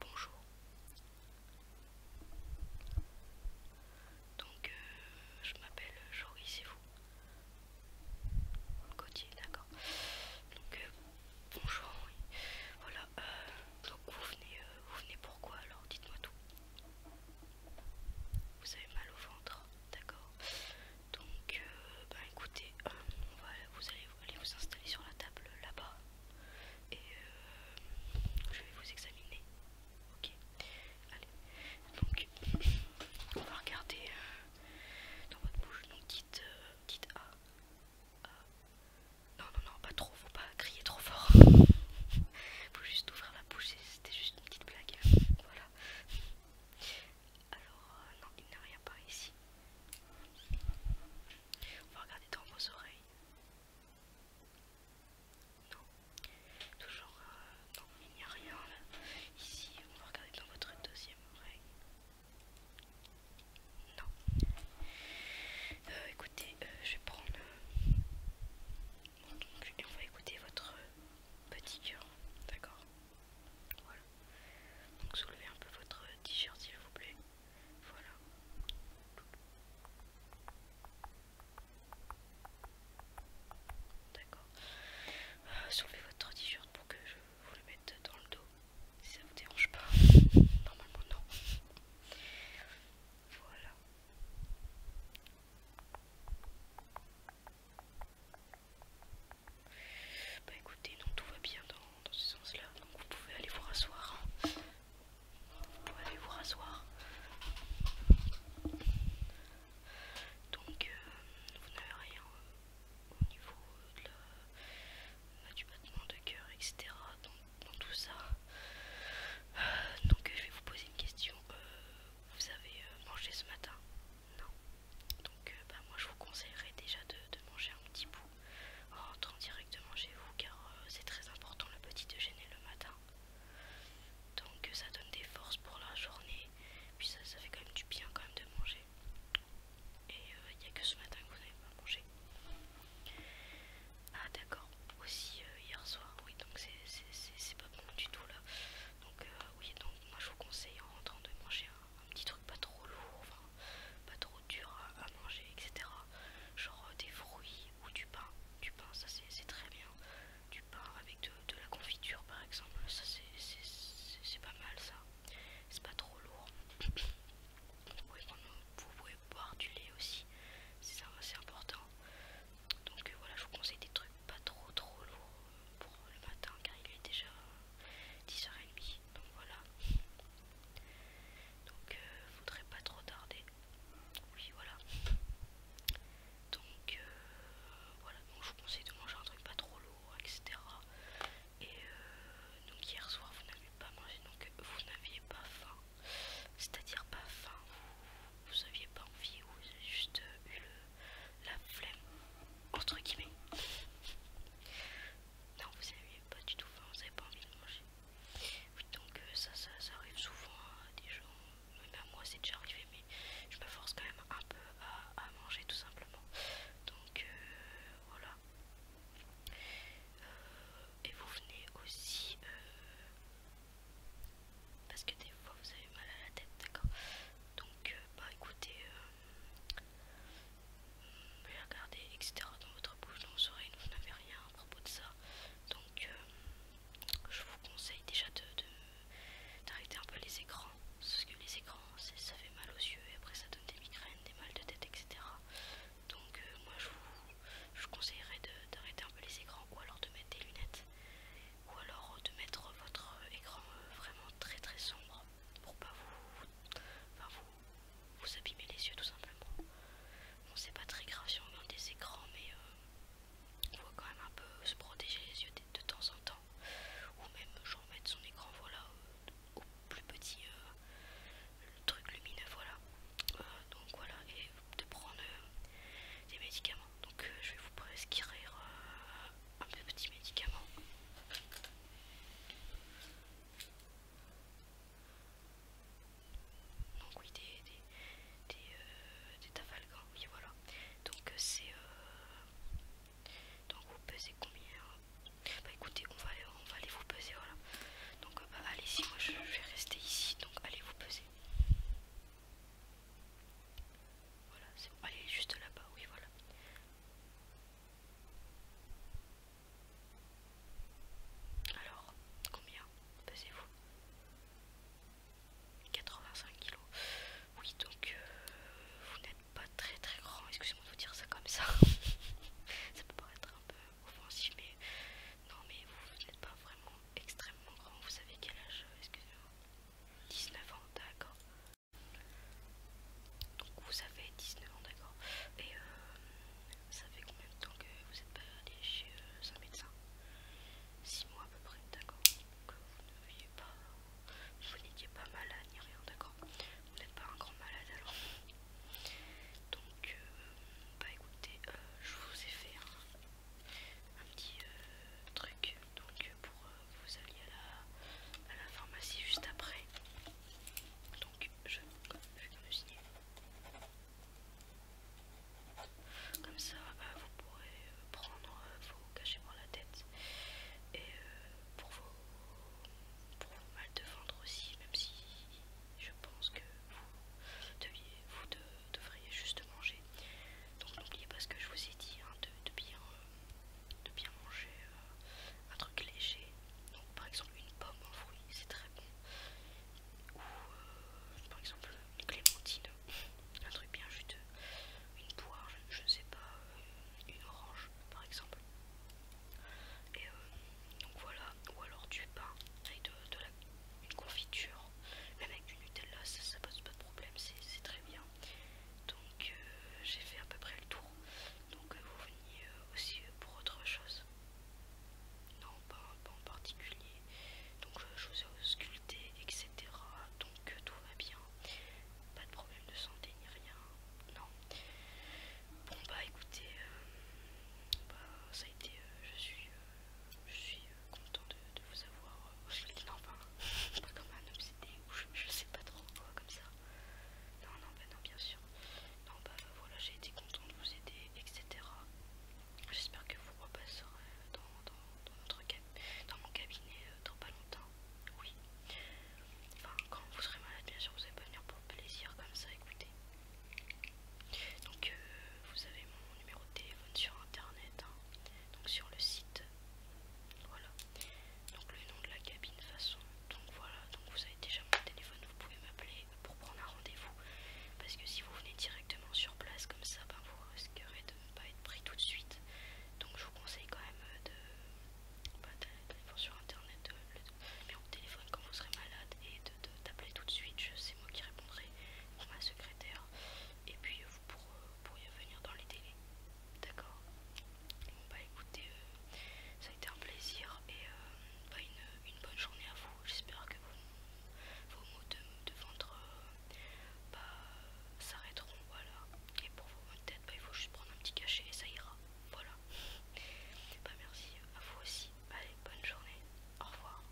Bonjour. Donc, euh, je m'appelle Jory, c'est vous d'accord. Euh, bonjour, Voilà, euh, donc vous venez, vous venez pourquoi alors Dites-moi tout. Vous avez mal au ventre, d'accord. Donc, bah, écoutez, vous allez vous installer sur la table là-bas et euh, je vais vous examiner. Ok, allez. Donc, on va regarder euh, dans votre bouche. Donc, dites, euh, A. Non, non, non, pas trop. Faut pas crier trop fort. faut juste ouvrir la bouche. C'était juste une petite blague. Voilà. Alors, euh, non, il n'y a rien par ici. On va regarder dans vos oreilles. Non, toujours euh, non, il n'y a rien là. Ici, on va regarder dans votre deuxième oreille. Non. Euh, écoutez, je vais prendre on va écouter votre petit cœur, d'accord voilà. Donc soulevez un peu votre t-shirt s'il vous plaît. Voilà. D'accord. Euh, soulevez votre t-shirt pour que je vous le mette dans le dos. Si ça vous dérange pas. Normalement non. Voilà. Bah écoutez, non, tout va bien dans, ce sens-là, donc vous pouvez aller vous rasseoir. Hein. Vous pouvez aller vous rasseoir. Donc, euh, vous n'avez rien euh, au niveau euh, du battement de cœur, etc. Dans, tout ça. donc, je vais vous poser une question. vous avez mangé ce matin non. Donc euh, bah, moi je vous conseillerais déjà de, manger un petit bout en rentrant directement chez vous car euh, c'est très important le petit déjeuner le matin. Donc euh, ça donne des forces pour la journée, puis ça, ça fait quand même du bien quand même de manger. Et il n'y a que ce matin que vous n'avez pas mangé. Ah d'accord, aussi hier soir, oui donc c'est pas bon du tout là. Donc oui donc moi je vous conseille en rentrant de manger un, petit truc pas trop lourd, pas trop dur à, manger, etc. Genre euh, des fruits ou du pain. Du pain, ça c'est très bien. Du pain avec de, la confiture par exemple, ça c'est pas mal ça. C'est pas trop lourd. Vous pouvez, vous pouvez boire du lait aussi, c'est important. Donc euh, voilà, je vous conseille des trucs pas trop trop lourds pour le matin car il est déjà 10h30 donc voilà donc ne euh, faudrait pas trop tarder oui voilà donc euh, voilà donc je vous conseille de manger un truc pas trop lourd etc et euh, donc hier soir vous n'avez pas mangé donc vous n'aviez pas faim c'est à dire pas faim vous, vous aviez pas envie ou vous avez juste eu le la flemme, entre guillemets. Non, vous n'avez pas du tout faim, vous n'avez pas envie de manger. donc euh, ça, ça, arrive souvent des gens, même à moi c'est déjà arrivé, mais je me force quand même un peu à, manger tout simplement. Donc euh, voilà. Euh, et vous venez aussi... parce que des fois vous avez mal à la tête, d'accord Donc, bah écoutez, vous etc. Dans votre bouche, dans vos oreilles, vous n'avez rien à propos de ça. Donc, euh, je vous conseille déjà de d'arrêter un peu les écrans. Parce que les écrans, ça fait mal aux yeux et après ça donne des migraines, des mal de tête, etc. Donc, euh, moi, je je vous conseillerais d'arrêter un peu les écrans ou alors de mettre des lunettes. Ou alors de mettre votre écran euh, vraiment très très sombre pour, pas vous, vous, abîmer les yeux tout simplement. Bon c'est pas très grave si on des écrans mais euh, on voit quand même un peu se protéger les yeux de, temps en temps. Ou même genre mettre son écran voilà au, plus petit euh, truc lumineux voilà. Euh, donc voilà et de prendre des médicaments. Donc je vais vous prescrire un petit médicament. Donc oui, des, euh, des, tafalgans, oui voilà. Donc euh, c'est... Euh, donc vous pesez combien Bah écoutez, on va, on va aller vous peser, voilà. Donc bah, allez-y, moi je vais rester ici, donc allez vous peser. Voilà, c'est Allez, juste là-bas, oui, voilà. Alors, combien pesez-vous 85 kilos. Oui, donc euh, vous n'êtes pas très très grand. Excusez-moi de vous dire ça comme ça. ça peut paraître un peu offensif, mais non, mais vous, vous n'êtes pas vraiment extrêmement grand. Vous savez quel âge Excusez-moi. 19 ans, d'accord. Donc vous avez 19 ans d'accord Et euh, ça fait combien de temps que vous n'êtes pas allé chez euh, un médecin 6 mois à peu près d'accord Donc vous n'étiez pas, pas malade ni rien d'accord Vous n'êtes pas un grand malade alors Donc euh, bah écoutez je vous ai fait un, petit truc donc pour euh, vous alliez à la, à la pharmacie juste après. Donc je, vais me signer. Comme ça, euh, vous pourrez euh, prendre vos cachets la tête et pour, vos, mal de ventre aussi, même si je pense que vous, deviez, vous devriez juste manger. Donc n'oubliez pas ce que je vous ai dit hein, de, de bien de bien manger euh, un truc léger. par exemple une pomme, en fruit, c'est très bon. Ou euh, par exemple une clémentine, un truc bien juteux. Une poire, je ne sais pas, euh, une orange par exemple. Et donc voilà, ou alors du pain avec de, la, une confiture, même avec du Nutella, ça, ça pose pas de problème, c'est très bien. Donc euh, j'ai fait à peu près le tour. Donc euh, vous venez euh, aussi pour autre chose Non, pas, en particulier. Donc je vous ai ausculté, etc. Donc tout va bien. Pas de problème de santé ni rien. Non. Bon bah écoutez, bah, ça a été, je suis content de, vous avoir euh, non enfin pas comme un obsédé ou je, sais pas trop quoi comme ça non non bah non bien sûr non bah, bah voilà j'ai été content de vous aider etc j'espère que vous repasserez dans, dans, dans, notre, dans mon cabinet euh, dans pas longtemps oui enfin quand vous serez malade bien sûr vous allez pas venir pour plaisir comme ça écoutez donc euh, vous avez mon numéro de téléphone sur internet, hein. donc sur le site. Voilà, donc le nom de la cabine façon. Donc voilà, donc vous avez déjà mon téléphone, vous pouvez m'appeler pour prendre un rendez-vous. Parce que si vous venez directement sur place comme ça, ben, vous risquerez de ne pas être pris tout de suite. Donc je vous conseille quand même de bah, sur internet euh, le numéro de téléphone quand vous serez malade et d'appeler tout de suite. C'est moi qui répondrai pour ma secrétaire. Et puis euh, vous pourrez euh, pour y venir dans les délais. D'accord Bon bah écoutez, euh, ça a été un plaisir et euh, bah, une, bonne journée à vous. J'espère que vos, mots de, ventre euh, bah, s'arrêteront. Voilà. Et pour vos maux de tête, bah, il faut juste prendre un petit cachet et ça ira. Voilà. Bah merci à vous aussi. Allez, bonne journée. Au revoir.